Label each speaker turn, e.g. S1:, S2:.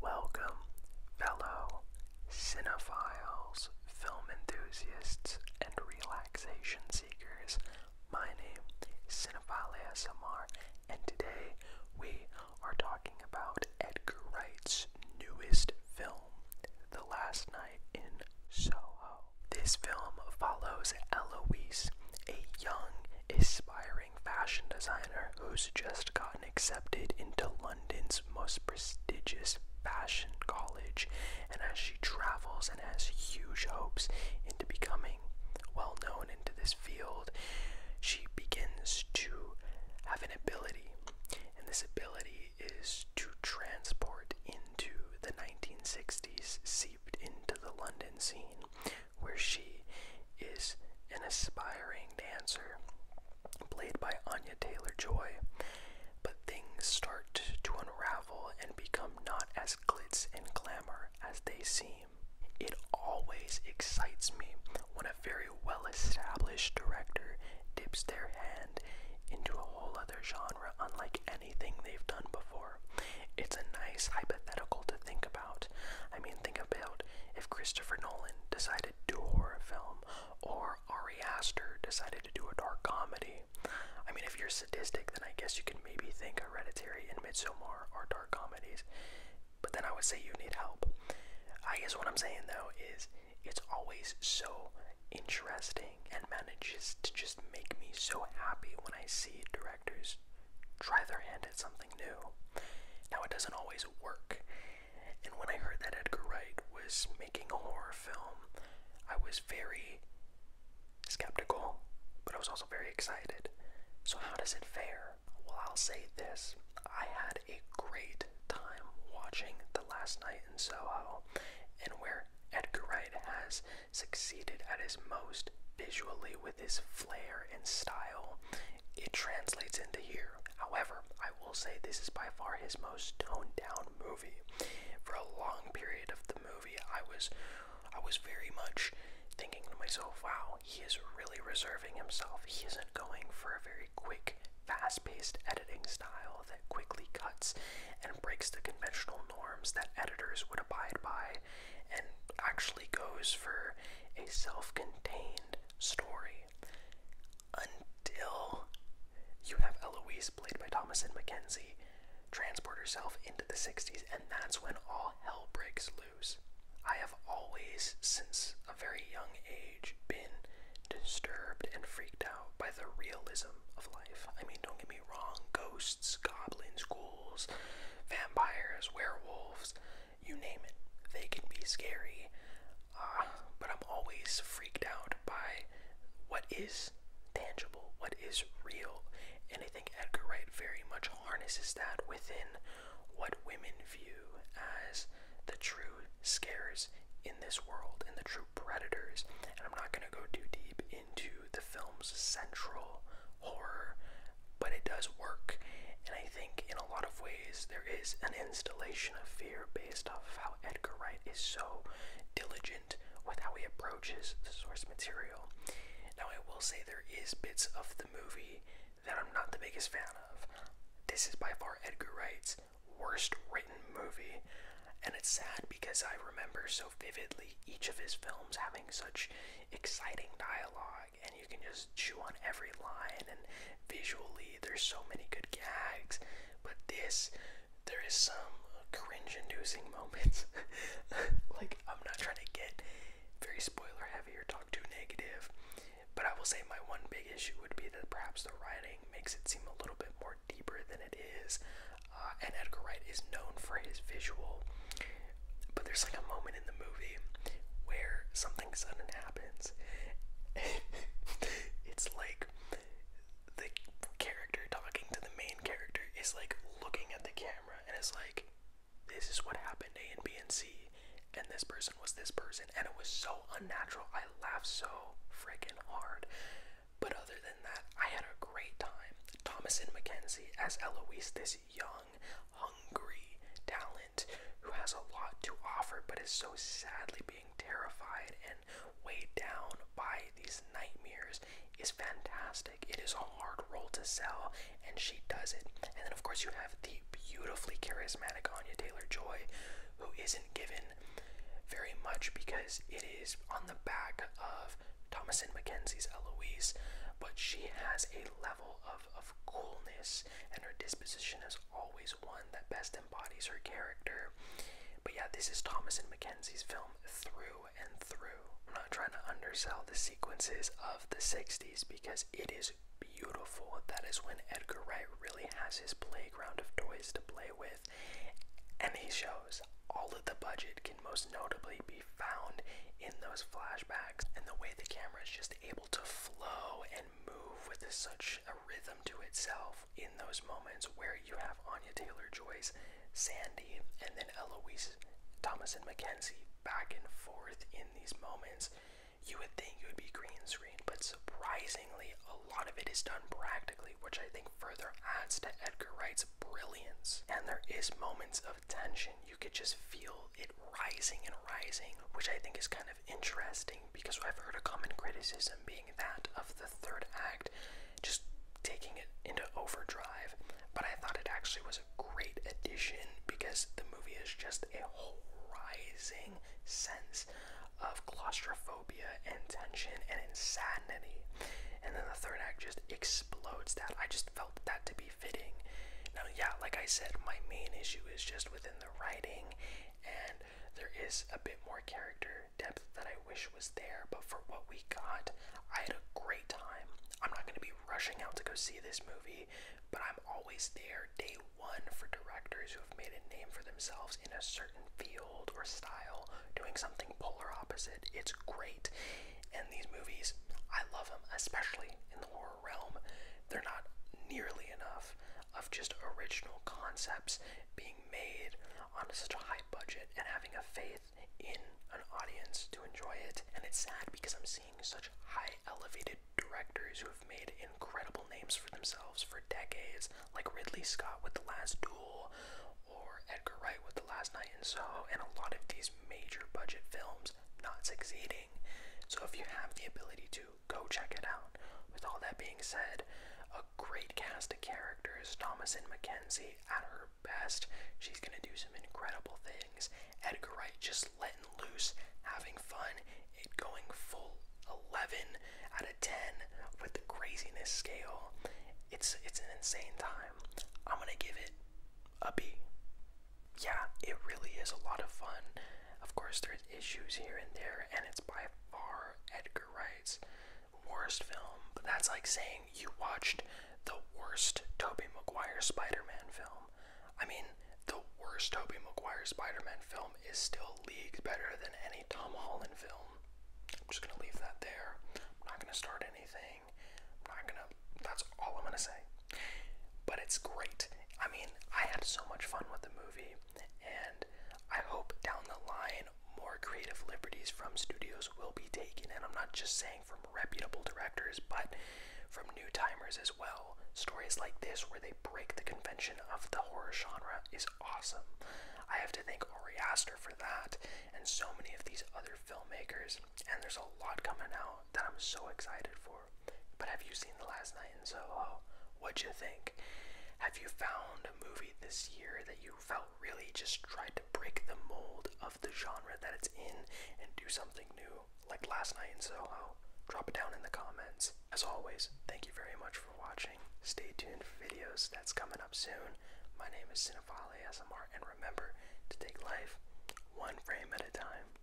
S1: Welcome, fellow cinephiles, film enthusiasts, and relaxation seekers. My name is Cinephile ASMR, and today we are talking about Edgar Wright's newest film, The Last Night in Soho. This film follows Eloise, a young, aspiring fashion designer who's just gotten accepted into London's most prestigious fashion college, and as she travels and has huge hopes into becoming well known into this field, she begins to have an ability, and this ability is to transport into the 1960s, seeped into the London scene where she is an aspiring dancer played by Anya Taylor Joy. But things start to unravel and become not as glitz and glamour as they seem. It always excites me when a very well established director dips their hand into a whole other genre unlike anything they've done before. It's a nice hypothetical to think about, I mean, think about if Christopher Nolan decided to do a horror film, or Ari Aster decided to do a dark comedy. I mean, if you're sadistic, then I guess you can maybe think Hereditary and Midsommar are dark comedies. But then I would say you need help. I guess what I'm saying though is it's always so interesting and manages to just make me so happy when I see directors try their hand at something new. Now, it doesn't always work. And when I heard that Edgar Wright was making a horror film, I was very skeptical, but I was also very excited. So, how does it fare? Well, I'll say this I had a great time watching The Last Night in Soho, and where Edgar Wright has succeeded at his most visually with his flair and style it translates into here. However, I will say this is by far his most toned down movie. For a long period of the movie, I was I was very much thinking to myself, wow, he is really reserving himself. He isn't going for a very quick, fast-paced editing style that quickly cuts and breaks the conventional norms that editors would abide by and actually goes for a self-contained story until you have Eloise, played by Thomasin McKenzie, transport herself into the 60s, and that's when all hell breaks loose. I have always, since a very young age, been disturbed and freaked out by the realism of life. I mean, don't get me wrong, ghosts, goblins, ghouls, vampires, werewolves, you name it. They can be scary, uh, but I'm always freaked out by what is tangible, what is real, and I think Edgar Wright very much harnesses that within what women view as the true scares in this world and the true predators. And I'm not going to go too deep into the film's central horror but it does work. And I think in a lot of ways there is an installation of fear based off of how Edgar Wright is so diligent with how he approaches source material. Now, I will say there is bits of the movie that I'm not the biggest fan of. This is by far Edgar Wright's worst written movie, and it's sad because I remember so vividly each of his films having such exciting dialogue and you can just chew on every line and visually there's so many good gags but this there is some cringe inducing moments like i'm not trying to get very spoiler heavy or talk too negative but i will say my one big issue would be that perhaps the writing makes it seem a little bit more deeper than it is uh, and edgar wright is known for his visual but there's like a moment in the movie where something something sudden happens. it's like the character talking to the main character is like looking at the camera and is like, this is what happened A and B and C, and this person was this person, and it was so unnatural. I laughed so freaking hard. But other than that, I had a great time. Thomas and Mackenzie as Eloise, this yawn hungry talent who has a lot to offer but is so sadly being terrified and weighed down by these nightmares is fantastic. It is a hard role to sell, and she does it. And then, of course, you have the beautifully charismatic Anya Taylor Joy, who isn't given very much because it is on the back of Thomason Mackenzie's Eloise, but she has a level of of coolness, and her disposition is always one that best embodies her character. But yeah, this is Thomas and Mackenzie's film through and through. I'm not trying to undersell the sequences of the 60s because it is beautiful. That is when Edgar Wright really has his playground of toys to play with, and he shows all that the budget can most notably be found in those flashbacks and the way the camera is just able to flow and move with such a rhythm to itself in those moments where you have Anya Taylor Joyce, Sandy, and then Eloise Thomas and Mackenzie back and forth in these moments. You would think it would be green screen, but surprisingly, a lot of it is done practically, which I think further adds to Edgar Wright's brilliance. And there is moments of tension. You could just feel it rising and rising, which I think is kind of interesting because I've heard a common criticism being that of the third act just taking it into overdrive, but I thought it actually was a great addition because the movie is just a rising sense of claustrophobia and tension and insanity. And then the third act just explodes that. I just felt that to be fitting. Now, yeah, like I said, my main issue is just within writing, and there is a bit more character depth that I wish was there. But for what we got, I had a great time. I'm not going to be rushing out to go see this movie, but I'm always there day one for directors who have made a name for themselves in a certain field or style, doing something polar opposite. It's great. And these movies, I love them, especially in the horror realm, they're not nearly enough of just original concepts being made on such a high budget and having a faith in an audience to enjoy it. And it's sad because I'm seeing such high elevated directors who have made incredible names for themselves for decades, like Ridley Scott with The Last Duel or Edgar Wright with The Last Night in Soho, and a lot of these major budget films not succeeding. So if you have the ability to go check it out. With all that being said, a great cast of characters. Thomasin McKenzie at her best. She's going to do some incredible things. Edgar Wright just letting loose, having fun, it going full 11 out of 10 with the craziness scale. It's it's an insane time. I'm going to give it a B yeah, it really is a lot of fun. Of course, there's issues here and there, and it's by far Edgar Wright's worst film. But that's like saying you watched the worst Tobey Maguire Spider-Man film. I mean, the worst Tobey Maguire Spider-Man film is still leagues better than any Tom Holland film. I'm just gonna leave that there. I'm not gonna start anything. I'm not gonna. That's all I'm gonna say. But it's great. I mean, I had so much fun with the movie, and I hope down the line more creative liberties from studios will be taken. And I'm not just saying from reputable directors, but from new timers as well. Stories like this, where they break the convention of the horror genre, is awesome. I have to thank Ari Aster for that, and so many of these other filmmakers. And there's a lot coming out that I'm so excited for. But have you seen Last Night in Soho? What'd you think? Have you found a movie this year that you felt really just tried to break the mold of the genre that it's in and do something new, like Last Night in Soho? Drop it down in the comments. As always, thank you very much for watching. Stay tuned for videos that's coming up soon. My name is Cinephile Smr, and remember to take life one frame at a time.